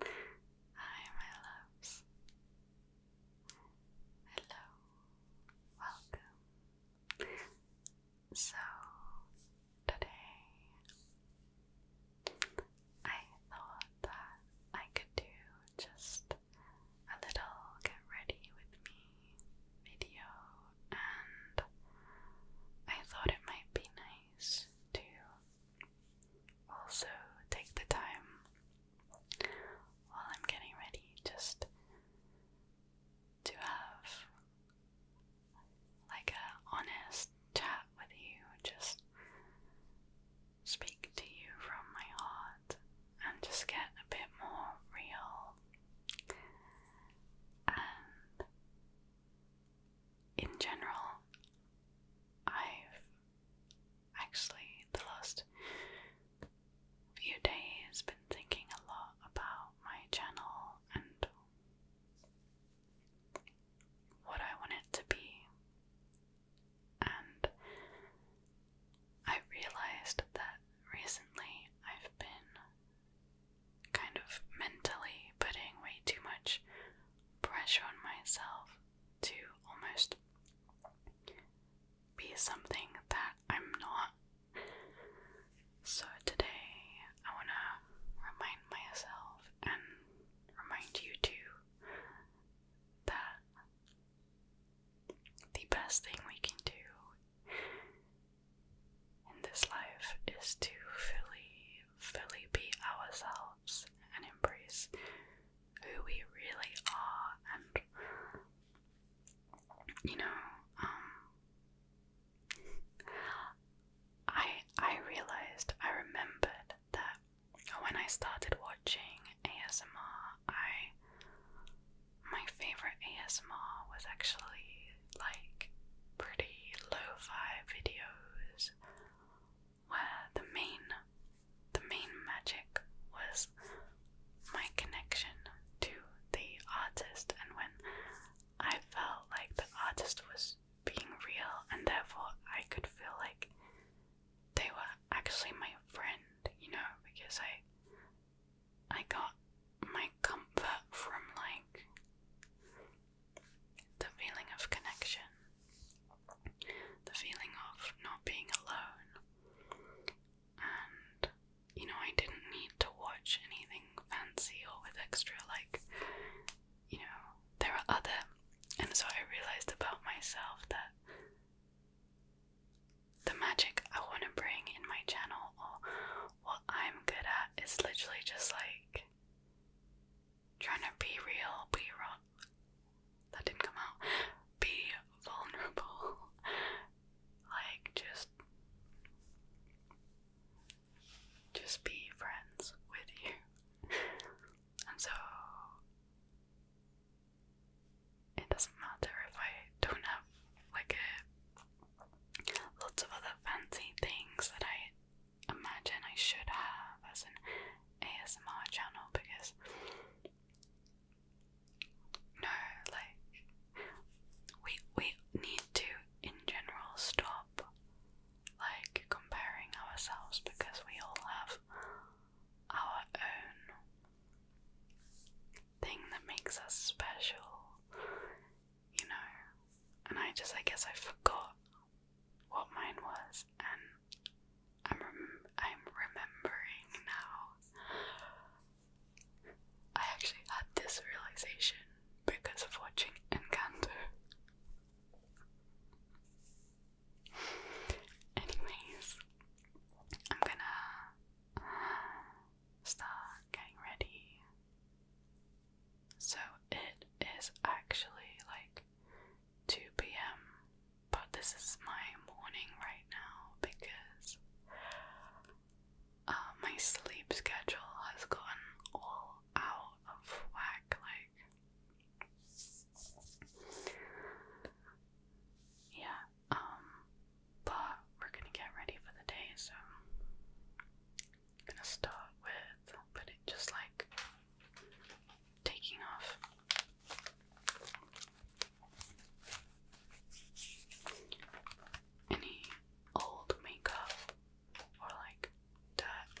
Hi, my loves. Hello. Welcome. So, today I thought that I could do just a little get ready with me video, and I thought it might be nice to also, take the time while I'm getting ready just to have like a honest chat with you, just speak to you from my heart and just get a bit more real and in general, I've actually, the last few days, been thinking a lot about my channel and what I want it to be. And I realized that recently I've been kind of mentally putting way too much pressure on myself to almost be something that I'm not. So today I want to remind myself and remind you too that the best thing we can do in this life is to fully fully be ourselves and embrace who we really are and you know um, I I realized I remembered that when I started watching ASMR I my favorite ASMR was actually like pretty lo-fi videos where the main the main magic was my connection to the artist and when I felt like the artist was being real and therefore I could feel like they were actually my friend, you know, because I I got my comfort from like the feeling of connection, the feeling of not being alone. And you know, I didn't need to watch anything fancy or with extra, like, you know, there are other. And so I realized about myself that the magic I want to bring in my channel or what I'm good at is literally just like trying to be real, be wrong. That didn't come out. Be vulnerable. like just just be friends with you. and so it doesn't matter if I don't have like a lots of other fancy things that I imagine I should have as an ASMR channel because no, like we we need to in general stop like comparing ourselves because we all have our own thing that makes us special, you know. And I just I guess I forgot what mine was, and I'm I'm remembering now. I actually had this realization because of watching Encanto. Anyways, I'm gonna start getting ready. So it is actually like 2 p.m., but this is my morning right now because uh, my sleep schedule has gotten all out of whack. Like, yeah, um, but we're gonna get ready for the day, so gonna start with, but just like taking off. Any old makeup or like that.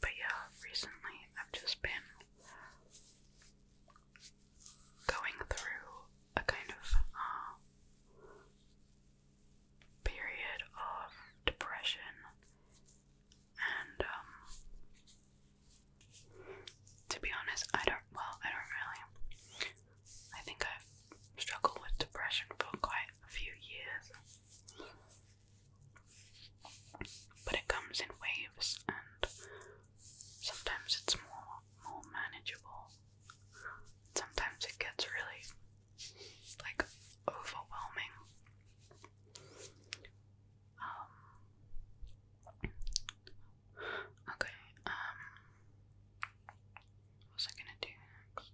But yeah, recently I've just been going through a kind of uh, period of depression and um, to be honest, I don't well, I don't really I think I've struggled with depression for quite a few years. But it comes in waves, and sometimes it's more more manageable. Sometimes it gets really like overwhelming. Um, okay. Um. I gonna do next?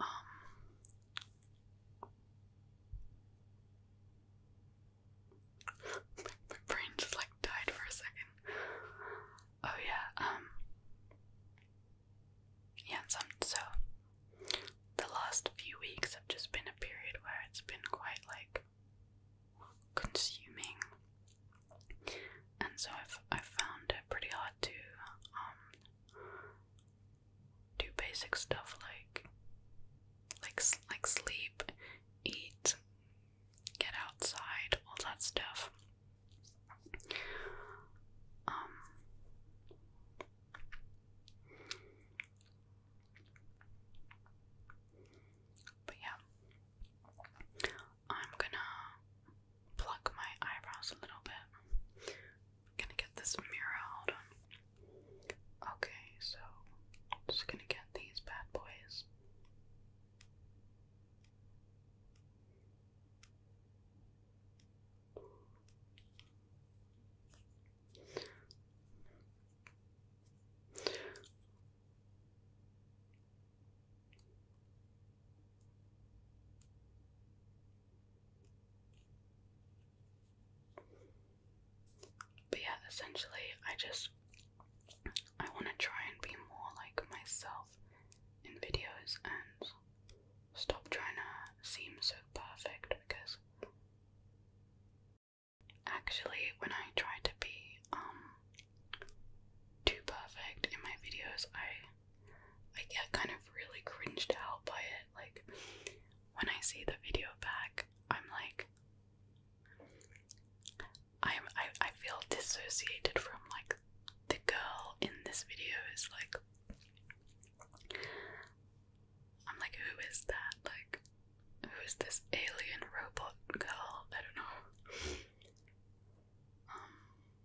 Um, my brain just like died for a second. Oh yeah, um, yeah, so the last few weeks have just been a period where it's been quite like consuming and so I've I've found it pretty hard to um, do basic stuff like like like sleep, eat, get outside, all that stuff. Um, but yeah, I'm gonna pluck my eyebrows a little bit. I'm gonna get this mirror out. Okay, so just gonna get these bad boys. But yeah, essentially, I just I want to try and be more like myself in videos and stop trying to seem so perfect because actually, when I try to be um too perfect in my videos, I I get kind of really cringed out by it. Like, when I see the video back, I'm like, I'm, I, I feel dissociated from like the girl in this video is like, I'm like, who is that? Like, who is this alien robot girl? I don't know. Um,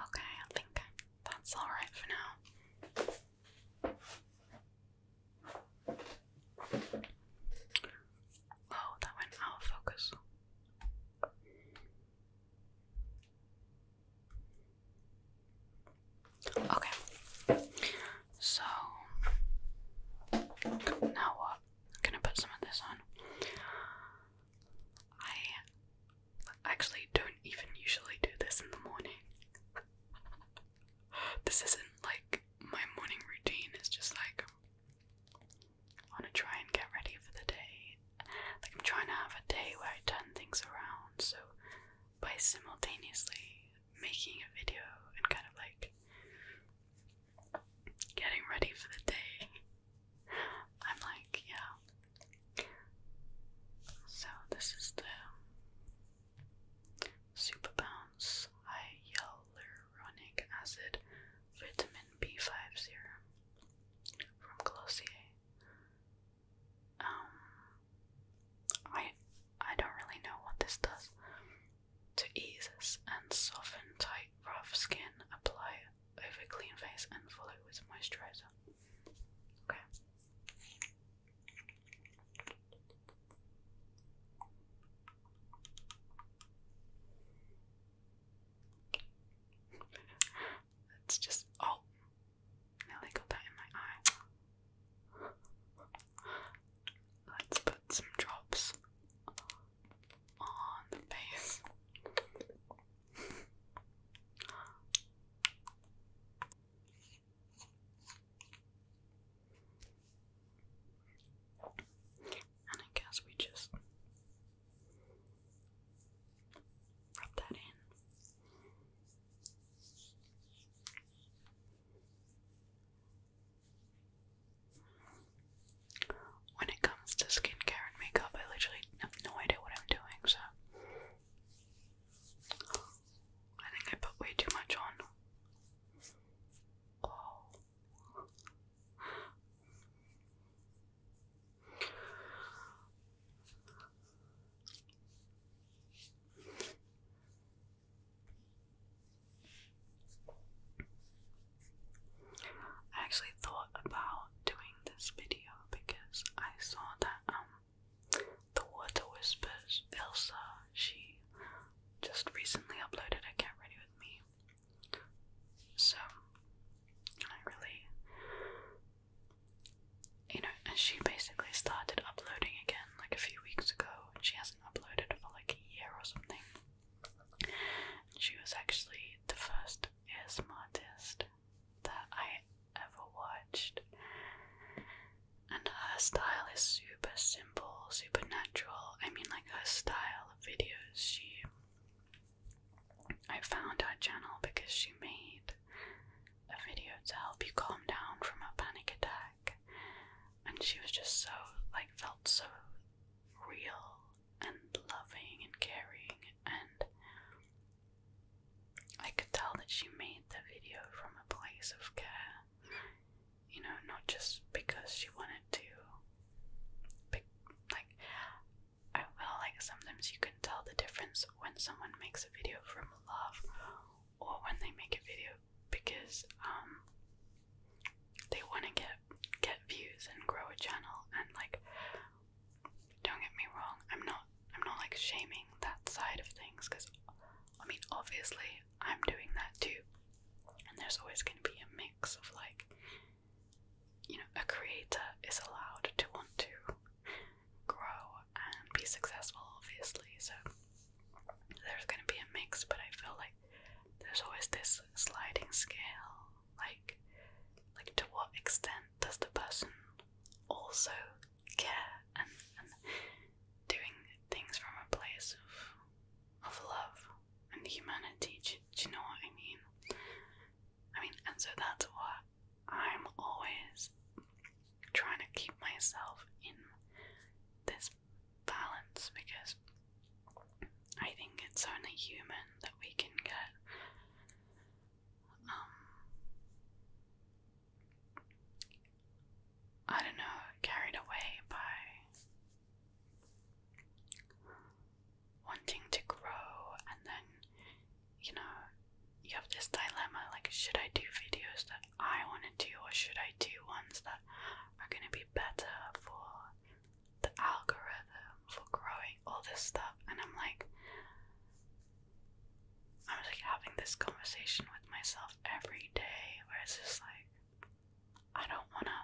Okay, I think that's all right for now. Oh, that went out of focus. Okay. So now I'm gonna put some of this on. I actually don't even usually do this in the morning. this isn't like my morning routine, it's just like I wanna try and get ready for the day. Like I'm trying to have a day where I turn things around so by simultaneously making a video and kind of like getting ready for the day, I'm like, yeah. So, this is the Super Hyaluronic Acid Vitamin B5 Serum from Glossier. Um, I I don't really know what this does. To ease and soften tight, rough skin, apply over clean face and follow with moisturizer. Okay. Let's just. Oh! Nearly got that in my eye. Let's put some drops on the face. And I guess we just rub that in. When it comes to skincare and makeup, I literally have no idea what I'm doing, so I think I put way too much on. I actually thought about doing this video because I saw that um the Water Whispers Elsa she just recently uploaded a get ready with me. So I really you know and she basically started uploading again like a few weeks ago and she has not uploaded for like a year or something. she was actually the first ASMR artist that I ever watched. And her style is super simple, super natural. I mean, like her style of videos, she. I found her channel because she made a video to help you calm down from a panic attack. And she was just so, like, felt so real and loving and caring. And I could tell that she made the video from a place of care. You know, not just because she wanted to. Pick, like, I feel like sometimes you can tell the difference when someone makes a video from love or when they make a video because um, they want to get get views and grow a channel and like don't get me wrong i'm not i'm not like shaming that side of things because i mean obviously i'm doing that too and there's always going to be a mix of like you know a creator is allowed to want to grow and be successful obviously so there's gonna be a mix, but I feel like there's always this sliding scale, like like to what extent does the person also care and, doing things from a place of of love and humanity? do you know what I mean? I mean, and so that's what I'm always trying to keep myself in this balance because I think it's only human that we can get um, I don't know, carried away by wanting to grow and then you know, you have this dilemma like should I do videos that I want to do or should I do ones that are going to be better for the algorithm, for growing, all this stuff. And I'm like, I'm like having this conversation with myself every day where it's just like, I don't want to.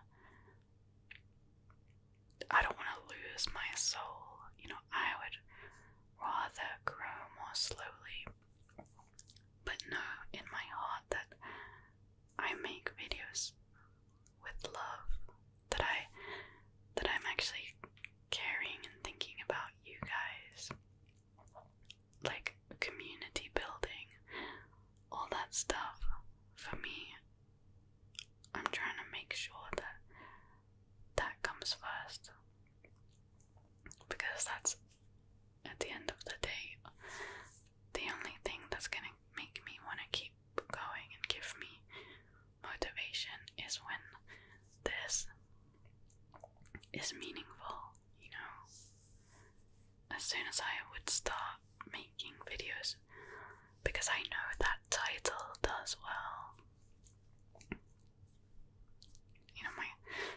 I don't want to lose my soul. You know, I would rather grow more slowly, but know in my heart that I make videos with love that I that I'm actually caring and thinking about you guys. Like community building, all that stuff. For me, I'm trying to make sure that that comes first because that's at the end of the day, the only thing that's gonna make me want to keep going and give me motivation is when this is meaningful, you know. As soon as I would start making videos, because I know that title does well. You know, my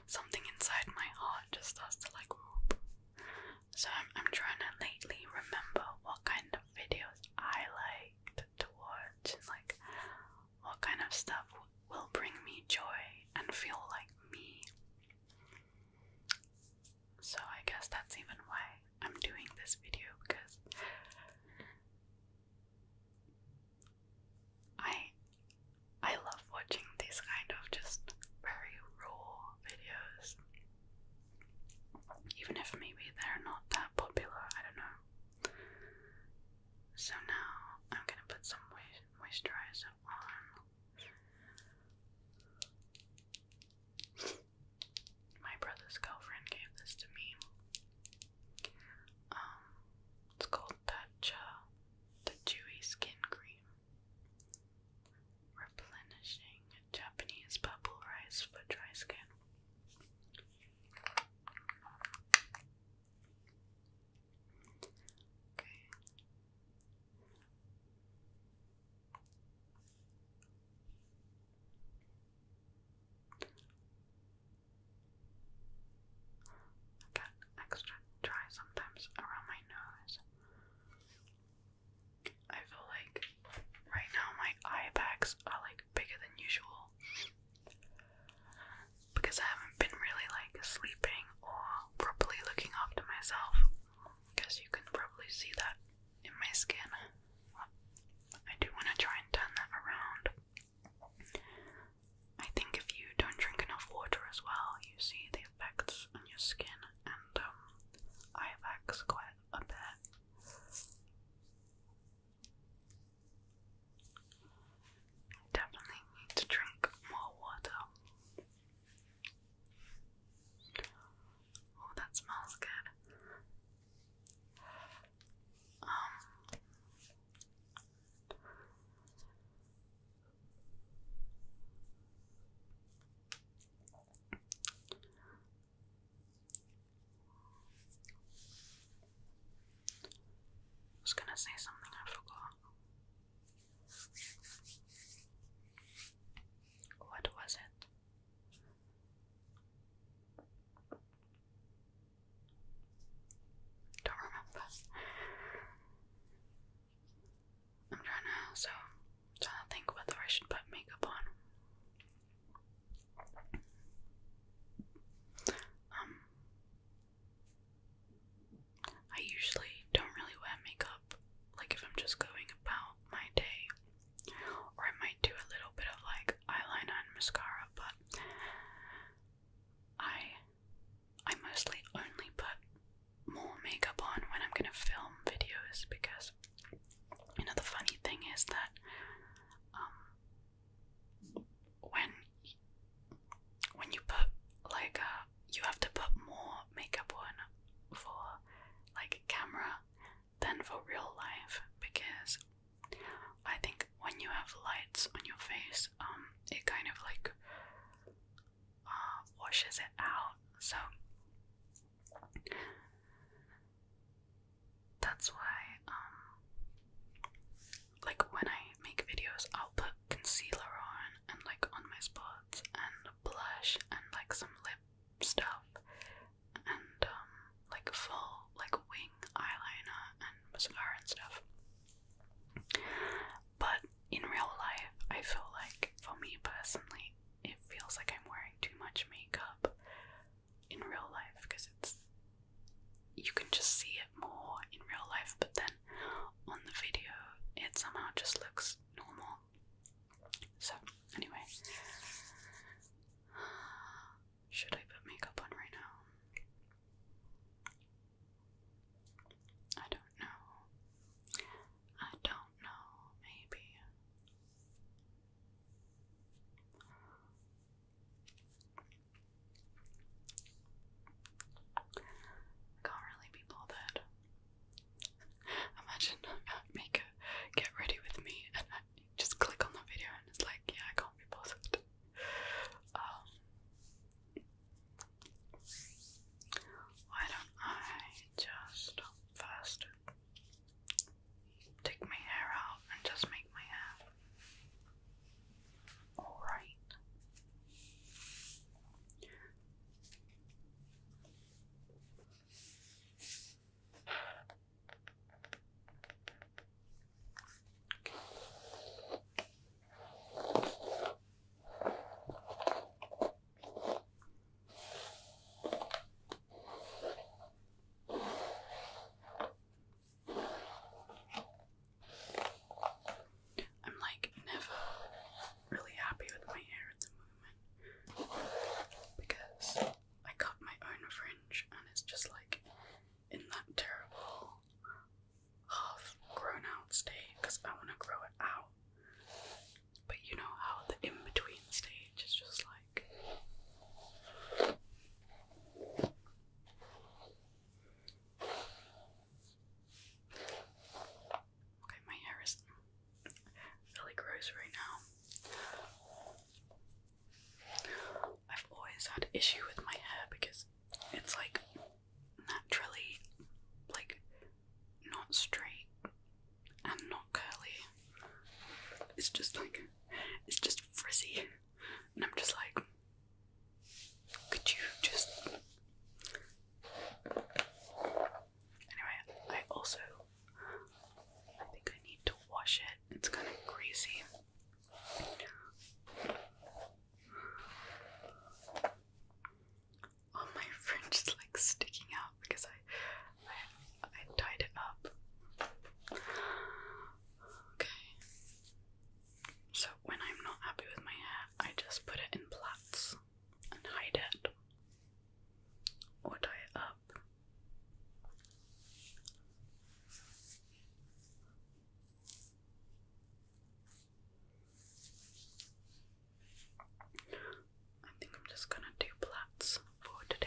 something inside my heart just starts to like whoop, so I'm, I'm trying to lately remember what kind of videos I liked to watch and like what kind of stuff will bring me joy and feel like me. So I guess that's even why I'm doing this video because I I love watching these kind of just very raw videos. Even if maybe they're not that popular, I don't know. So now I'm gonna put some moisturizer on. My brother's girlfriend gave this to me. Um, it's called Tatcha, the Dewy Skin Cream. Replenishing Japanese bubble rice for dry skin. Okay. I get extra dry sometimes around my nose. I feel like right now my eye bags are like bigger than usual because I haven't been really like sleeping or properly looking after myself because you can probably see that in my skin. I do want to try and turn that around. I think if you don't drink enough water as well, you see the effects on your skin and um, I have hacks quite a bit. Definitely need to drink more water. Oh, that smells good. Um, I was going to say something I forgot. What was it? Don't remember. I'm trying to so I'm trying to think whether I should put makeup on. Um I usually don't really wear makeup like if I'm just going about my day. Or I might do a little bit of like eyeliner and mascara, but I I mostly only put more makeup on when I'm gonna film videos because you know the funny thing is that um, when when you put like uh you have to put more makeup on for like camera than for real life because I think when you have lights on your face um, it kind of like uh, washes it out so that's why, um, like when I make videos, I'll put concealer on and like on my spots and blush and like some lip stuff and um, like full like wing eyeliner and mascara and stuff. But in real life, I feel like for me personally, it feels like I'm wearing too much makeup in real life because it's you can just see it more in real life, but then on the video it somehow just looks normal. So, anyway, should I put makeup on right now? I don't know. I don't know, maybe. Can't really be bothered. Imagine make get ready with me and just click on the video and it's like, yeah, I can't be bothered. Um, why don't I just first take my hair out and just make my hair all right. I'm like never really happy with my hair at the moment because I cut my own fringe and it's just like in that terrible half grown out state because I want to grow it out. But you know how the in between stage is just like. Okay, my hair is really gross right now. I've always had issue with my hair because it's like naturally like not straight and not curly. It's just like, it's just frizzy. And I'm just like, could you just. Anyway, I also. I think I need to wash it. It's kind of greasy. Oh, my fringe is like sticking out because I, I, I tied it up. Okay. So when I'm not happy with my hair, I just put it in plaits and hide it or tie it up. I think I'm just gonna do plaits for today.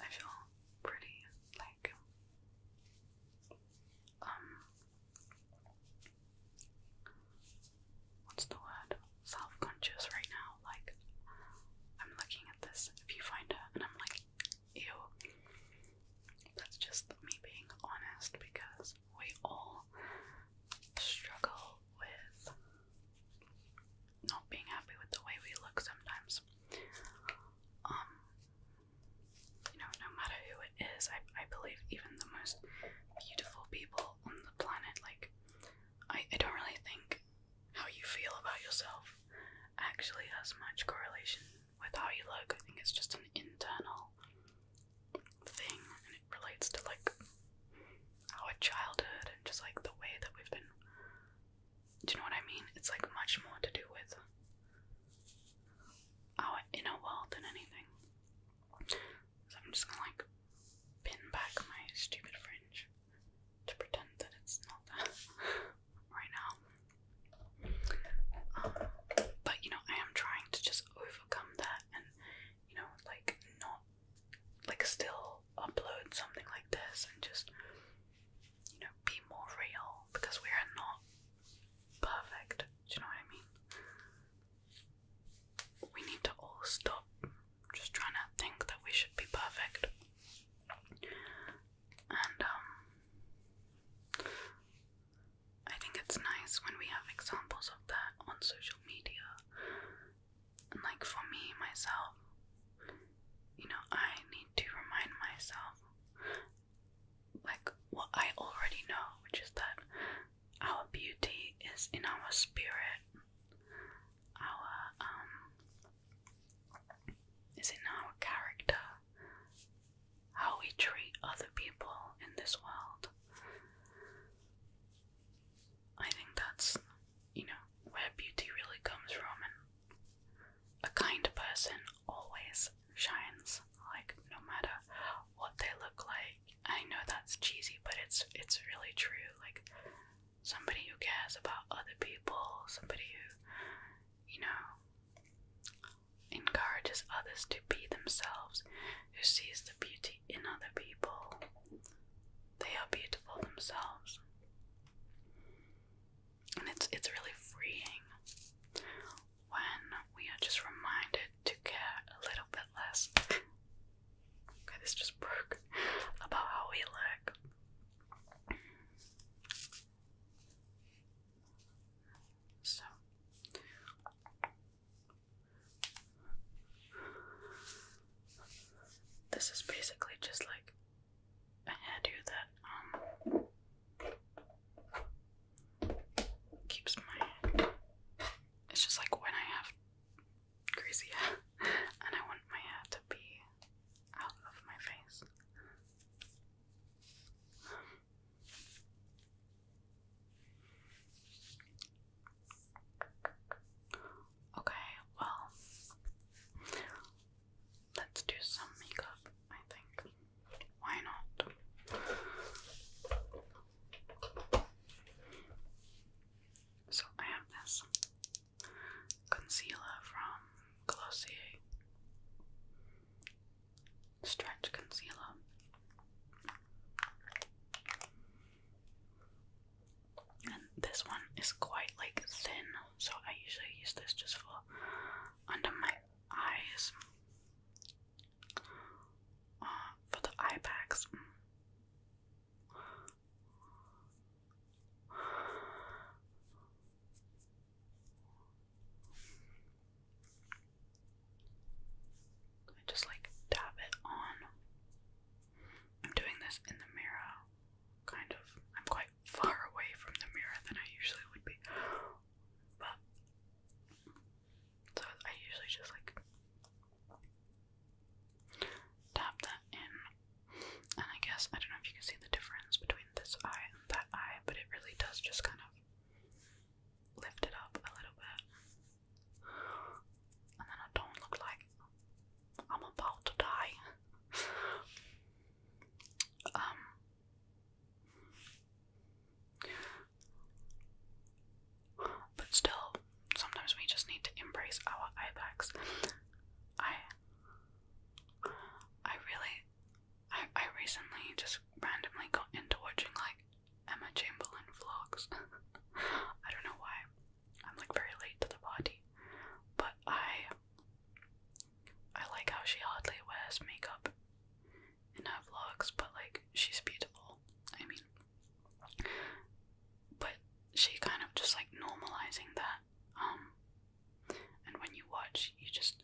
I feel pretty like um what's the word? Self-conscious right now. Like I'm looking at this viewfinder and I'm like, ew. That's just me being honest because we all struggle with not being happy with the way we look sometimes. Um, you know, no matter who it is, I, I believe even the most beautiful people on the planet, like, I, I don't really think how you feel about yourself actually has much correlation with how you look. I think it's just an internal thing, and it relates to like our childhood and just like the way that we've been. Do you know what I mean? It's like much more to do with our inner world than anything. So I'm just gonna like pin back my stupid fringe to pretend that it's not that right now. Uh, but you know, I am trying to just overcome that and you know like not like still upload something like this and just you know be more real because we are not perfect do you know what I mean we need to all stop just trying to think that we should be perfect and um, I think it's nice when we have examples of that on social media. And like for me, myself, you know, I need to remind myself like what I already know, which is that our beauty is in our spirit. Our um is in our character, how we treat other people in this world. I think that's, you know, where beauty really comes from, and a kind person always shines, like, no matter what they look like. I know that's cheesy, but it's it's really true. Like somebody who cares about other people, somebody who, you know, encourages others to be themselves, who sees the beauty in other people. They are beautiful themselves. And it's it's really freeing when we are just reminded to care a little bit less. okay, this just broke about how we look. So this is basically just like a hairdo that um keeps my it's just like when I have crazy and I want my hair to be out of my face. Okay, well, let's do some makeup, I think. Why not? So, I have this concealer from Glossier, stretch concealer. And this one is quite like thin, so I usually use this just for under my eyes. Uh, for the eye bags. I just like tap it on. I'm doing this in the mirror, kind of. I'm quite far away from the mirror than I usually would be, but so I usually just like dab that in. And I guess I don't know if you can see the difference between this eye and that eye, but it really does just kind of lift it up a little bit and then I don't look like I'm about to die. Um, but still, sometimes we just need to embrace our eye bags. I, I really, I, I recently just randomly got into watching like Emma Chamberlain vlogs. I don't know why. I'm like very late to the party. But I I like how she hardly wears makeup in her vlogs, but like she's beautiful. I mean but she kind of just like normalizing that. Um and when you watch you just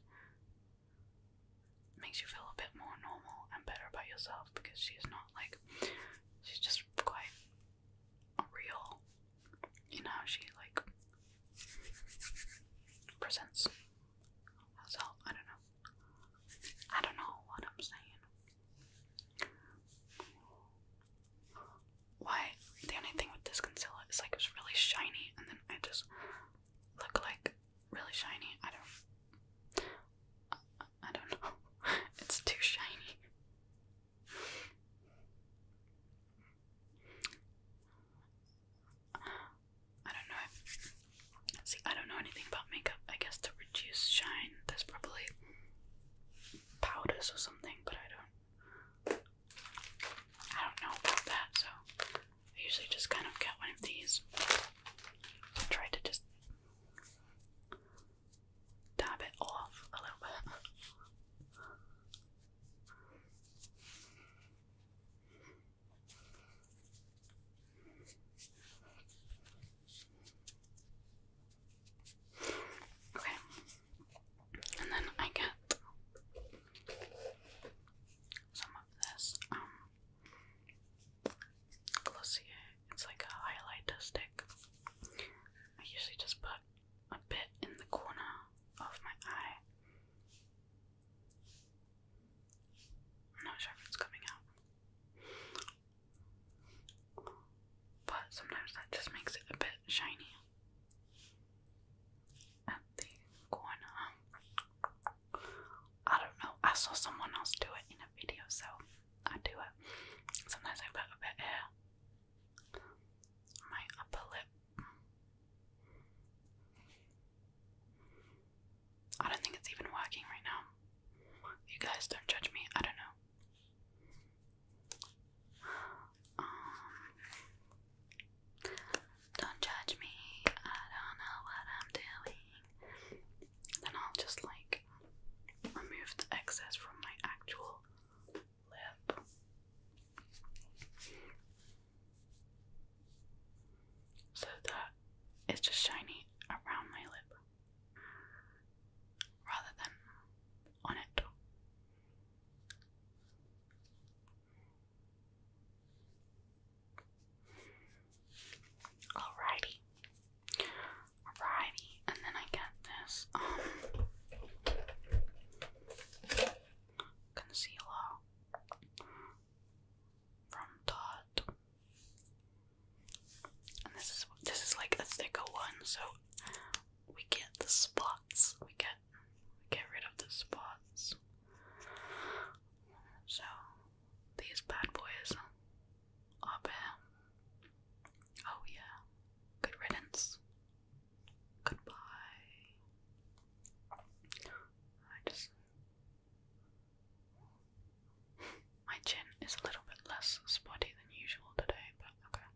makes you feel a bit more normal and better about yourself because she's not like she's just quite real you know she like presents herself I don't know I don't know what I'm saying why the only thing with this concealer is like it's really shiny and then I just look like really shiny I don't I don't know. It's too shiny. I don't know. see, I don't know anything about makeup. I guess to reduce shine, there's probably powders or something, but I don't. I don't know about that, so I usually just kind of get one of these. try to just dab it off a little bit. Okay, and then I get some of this um, Glossier. It's like a highlighter stick. I usually just put a bit in the corner of my eye. not sure if it's coming out. But sometimes that just makes it a bit shiny at the corner. I don't know. I saw someone else do it in a video, so I do it. Sometimes I put a bit here. My upper lip. I don't think it's even working right now. You guys don't judge me, I don't know. Um, don't judge me, I don't know what I'm doing. Then I'll just like remove excess from my actual lip. So that it's just shiny around my lip rather than on it. Alrighty. Alrighty. And then I get this um, concealer from Todd. And this is this is like a thicker one, so we get the spots. We get get rid of the spots. So these bad boys up here. Oh, yeah. Good riddance. Goodbye. I just. My chin is a little bit less spotty than usual today, but okay.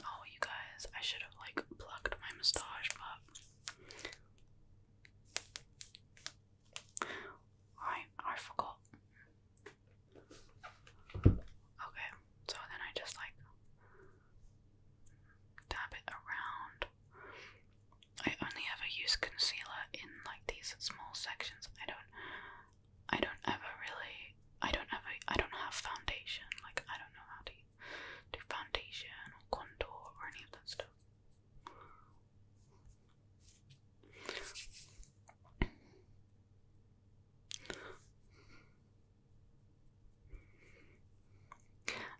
Oh, you guys, I should have like plucked my moustache, but I I forgot. Okay, so then I just like dab it around. I only ever use concealer in like these small sections. I don't I don't ever really I don't ever I don't have foundation. Like I don't know how to do foundation or contour or any of that stuff.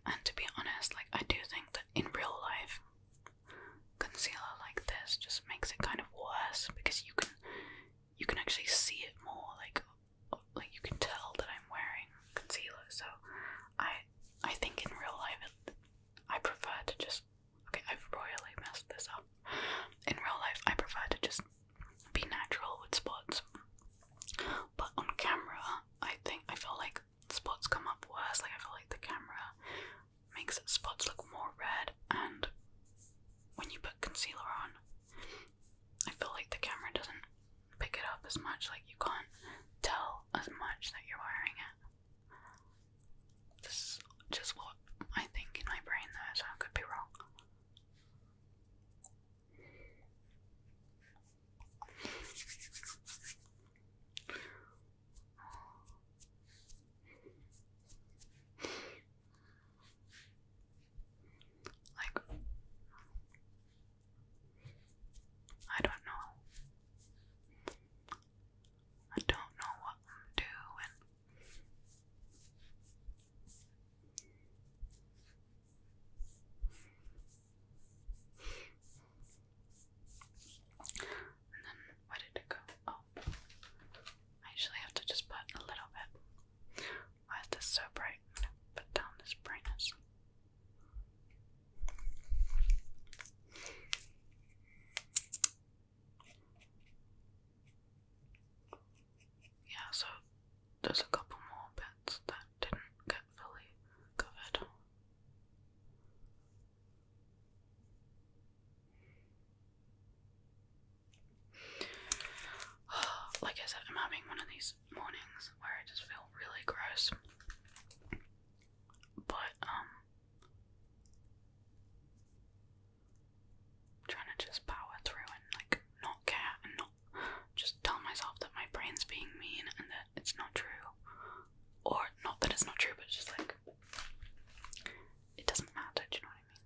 And to be honest, like I do think that in real life, concealer like this just makes it kind of worse because you can you can actually see it more like like you can tell that I'm wearing concealer. So I I think in real life I prefer to just. Okay, I've royally messed this up. In real life, I prefer to just be natural with spots. But on camera, I think I feel like spots come up worse. Like, I feel like the camera makes spots look more red, and when you put concealer on, I feel like the camera doesn't pick it up as much. Like, you can't tell as much that you're wearing it. This is just what I think in my brain though, so I could be wrong. Like, I don't know. I don't know what I'm doing. And then, where did it go? Oh, I usually have to just put a little bit. Why is this so bright? put down this brightness. Yeah, so there's a couple more bits that didn't get fully covered. Like I said, I'm having one of these mornings where I just feel really gross. But um trying to just power through and like not care and not just tell myself that my brain's being mean and that it's not true. Or not that it's not true, but just like it doesn't matter, do you know what I mean?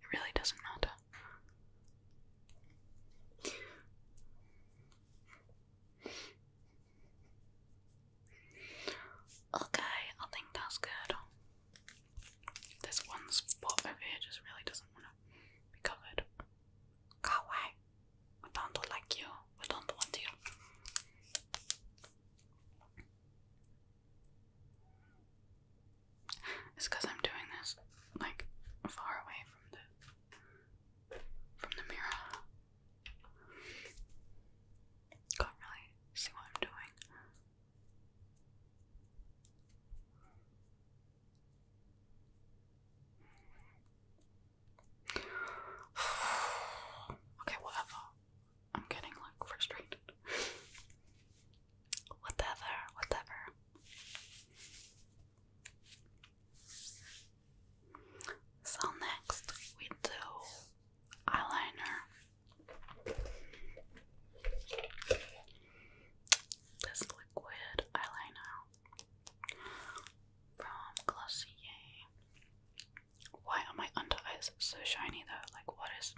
It really doesn't matter. Okay, I think that's good. This one spot over here just really doesn't want to be covered. Go away. I don't like you. I don't want you. It's because I'm doing this like far away from the from the mirror. Can't really see what I'm doing. okay, whatever. I'm getting like frustrated. whatever, whatever. So next we do eyeliner. This liquid eyeliner from Glossier. Why are my under eyes so shiny though? Like what is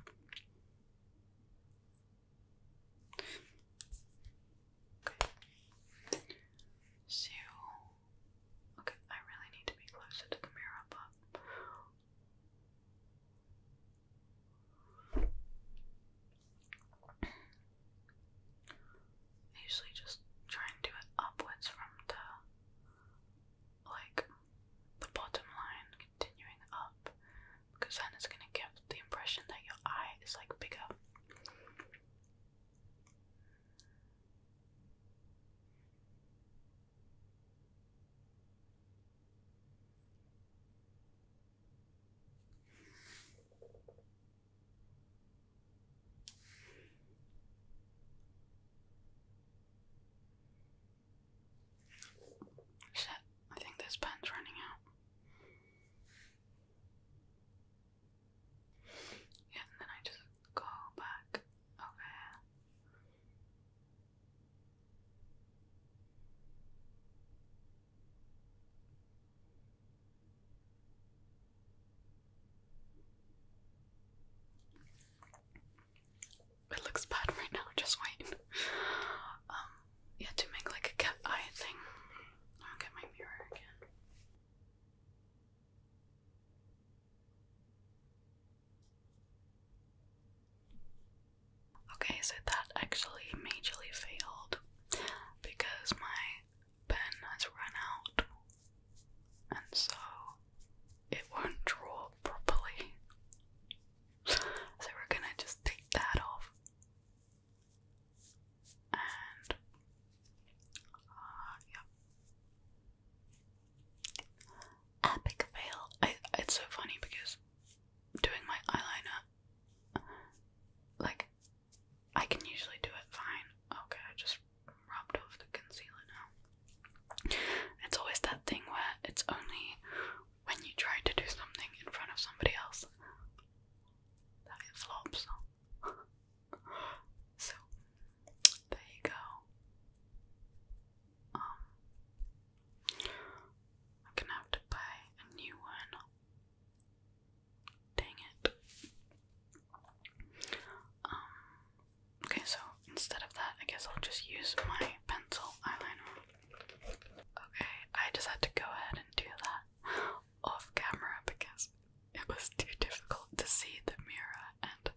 Okay. So Okay, I really need to be closer to the mirror, but. I usually just try and do it upwards from the like the bottom line continuing up because then it's gonna give the impression that your eye is like bigger. Shit, I think this pen's running out. Yeah, and then I just go back over It looks bad right now, just wait. Um, yeah, to make like a cat eye thing. I'll get my mirror again. Okay, so that actually majorly failed because my pen has run out and so it won't draw properly. So we're gonna just take that off and uh, yeah. Epic fail. it's so funny because doing my eyeliner, like, I can usually do it fine. Okay, I just rubbed off the concealer now. It's always that thing where it's only when you try to do something in front of somebody else that it flops. so, there you go. Um, I'm gonna have to buy a new one. Dang it. Um, okay, so instead of that, I guess I'll just use my pencil eyeliner. Okay, I just had to go ahead and do that off camera because it was too difficult to see the mirror and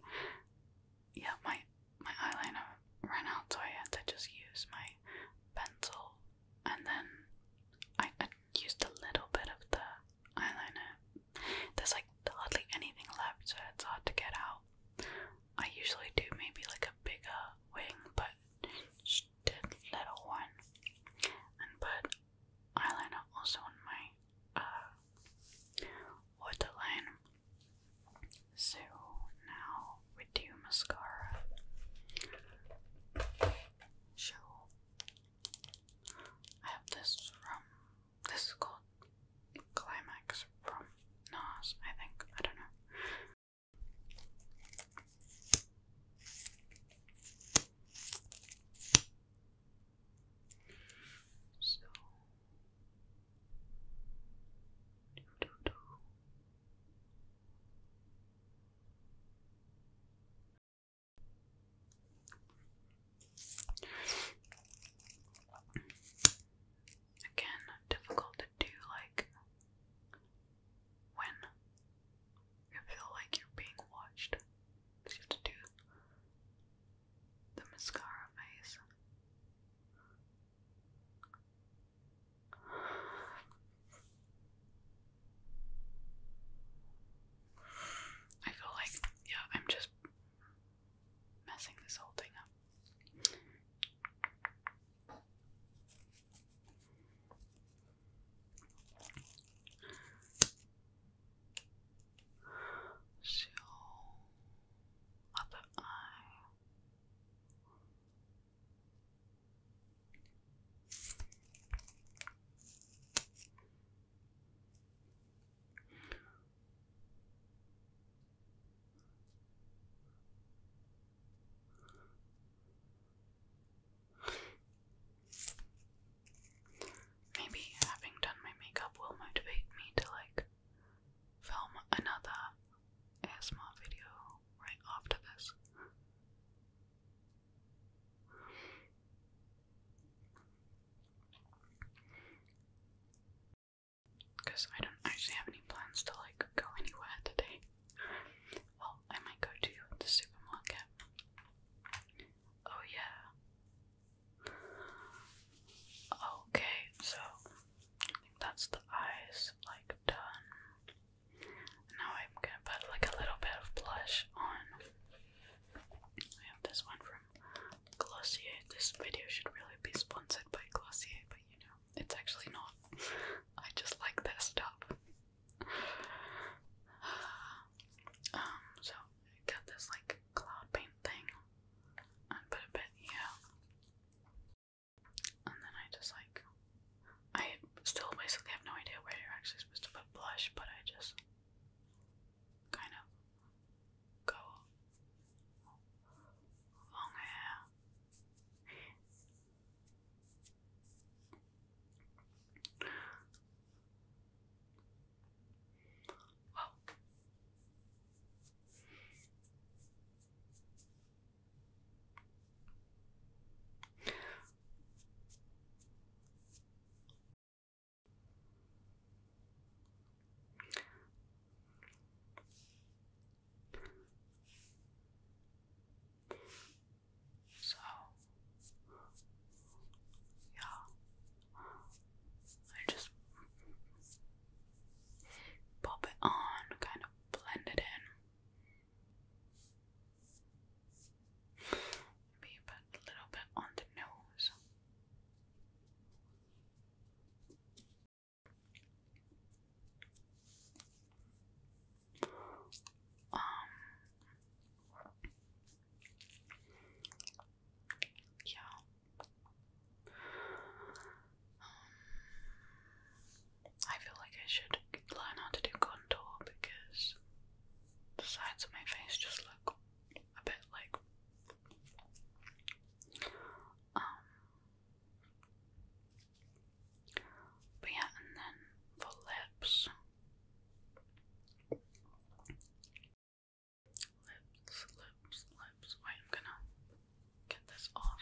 yeah, my my eyeliner ran out, so I had to just use my pencil, and then I, used a little bit of the eyeliner. There's like hardly anything left, so it's hard to get out. I usually do maybe like a bigger wing, but just a little one, and put eyeliner also on my uh, waterline. So now we do mascara. Show. I have this from. This is called Climax from NAS, I think. I don't know. So do, do, do. Again, difficult to do like when you feel like you're being watched. So you have to do the mascara face. I feel like, yeah, I'm just messing this whole thing up. So other Maybe having done my makeup will motivate me to like film another asthma video right after this. Because I don't actually have any plans to like go anywhere today. Well, I might go to the supermarket. Oh, yeah. Okay, so I think that's the eyes like done. Now I'm gonna put like a little bit of blush on. I have this one from Glossier. This video should really be sponsored by Glossier, but you know, it's actually not. I just like this stuff. Um, so I got this like cloud paint thing and put a bit here. And then I just like, I still basically have no idea where you're actually supposed to put blush, but I just kind of go long hair. Wow. So, yeah, I just pop it on, kind of blend it in. Maybe put a little bit on the nose. Um, yeah. Um, I feel like I should learn how to do contour because the sides of my face just look a bit like. Um, but yeah, and then for lips, Lips, lips, lips. Wait, I'm gonna get this off.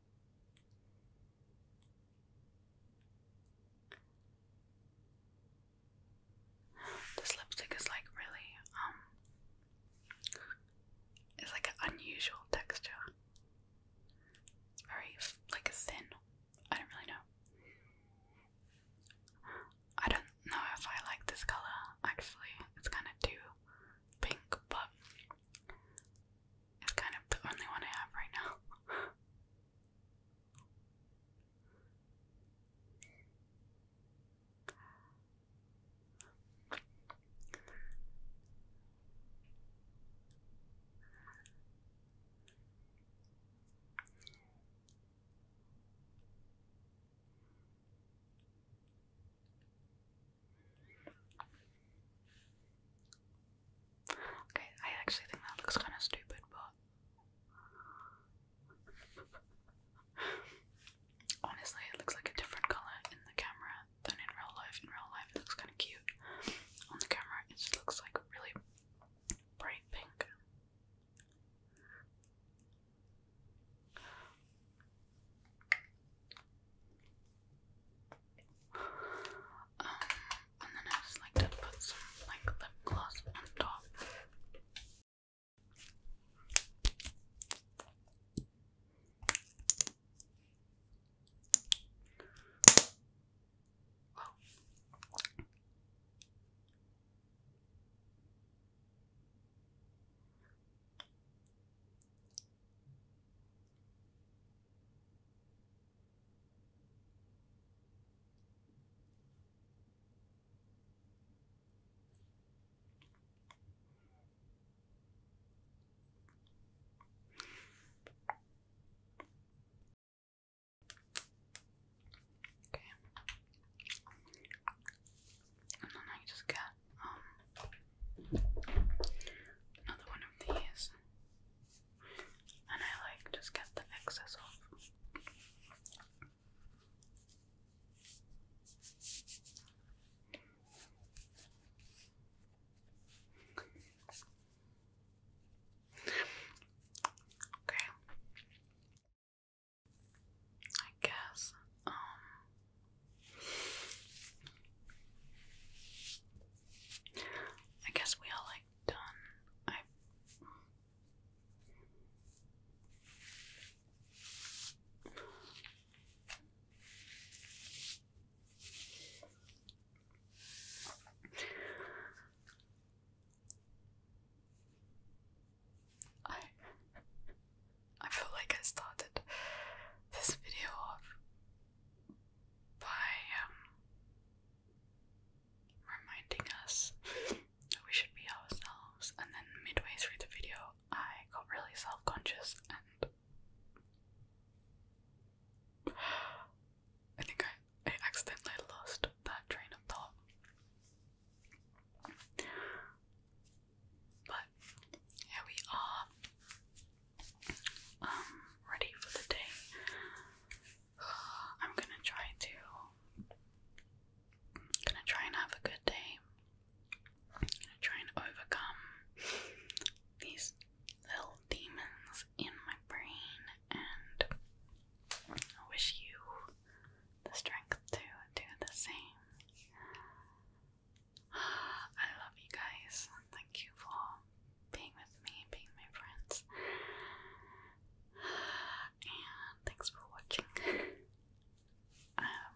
This lipstick is like really, um, it's like an unusual texture. It's very like thin. I don't really know. I don't know if I like this color actually. It's kind of too pink, but it's kind of the only one I have right now. Okay, I actually think that looks kind of stupid, but honestly, it looks like a different color in the camera than in real life. In real life, it looks kind of cute. On the camera, it just looks like really bright pink. Um, and then I just like to put some like lip gloss on top. Okay. And then I just got um, another one of these and I like just get the excess off. Okay. I guess um I guess we all like i done. I I feel like I started this video off by um, reminding us we should be ourselves, and then midway through the video, I got really self conscious and. I think I, I accidentally lost that train of thought. But here we are um ready for the day. I'm gonna try to gonna try and have a good day. I'm gonna try and overcome these little demons in my brain and I wish you the strength to do the same. I love you guys. Thank you for being with me, being my friends. And thanks for watching. um,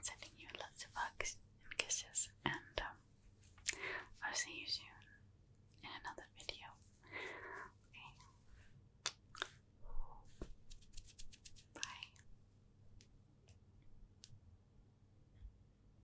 sending you lots of hugs and kisses, and um, I'll see you soon in another video. Bye.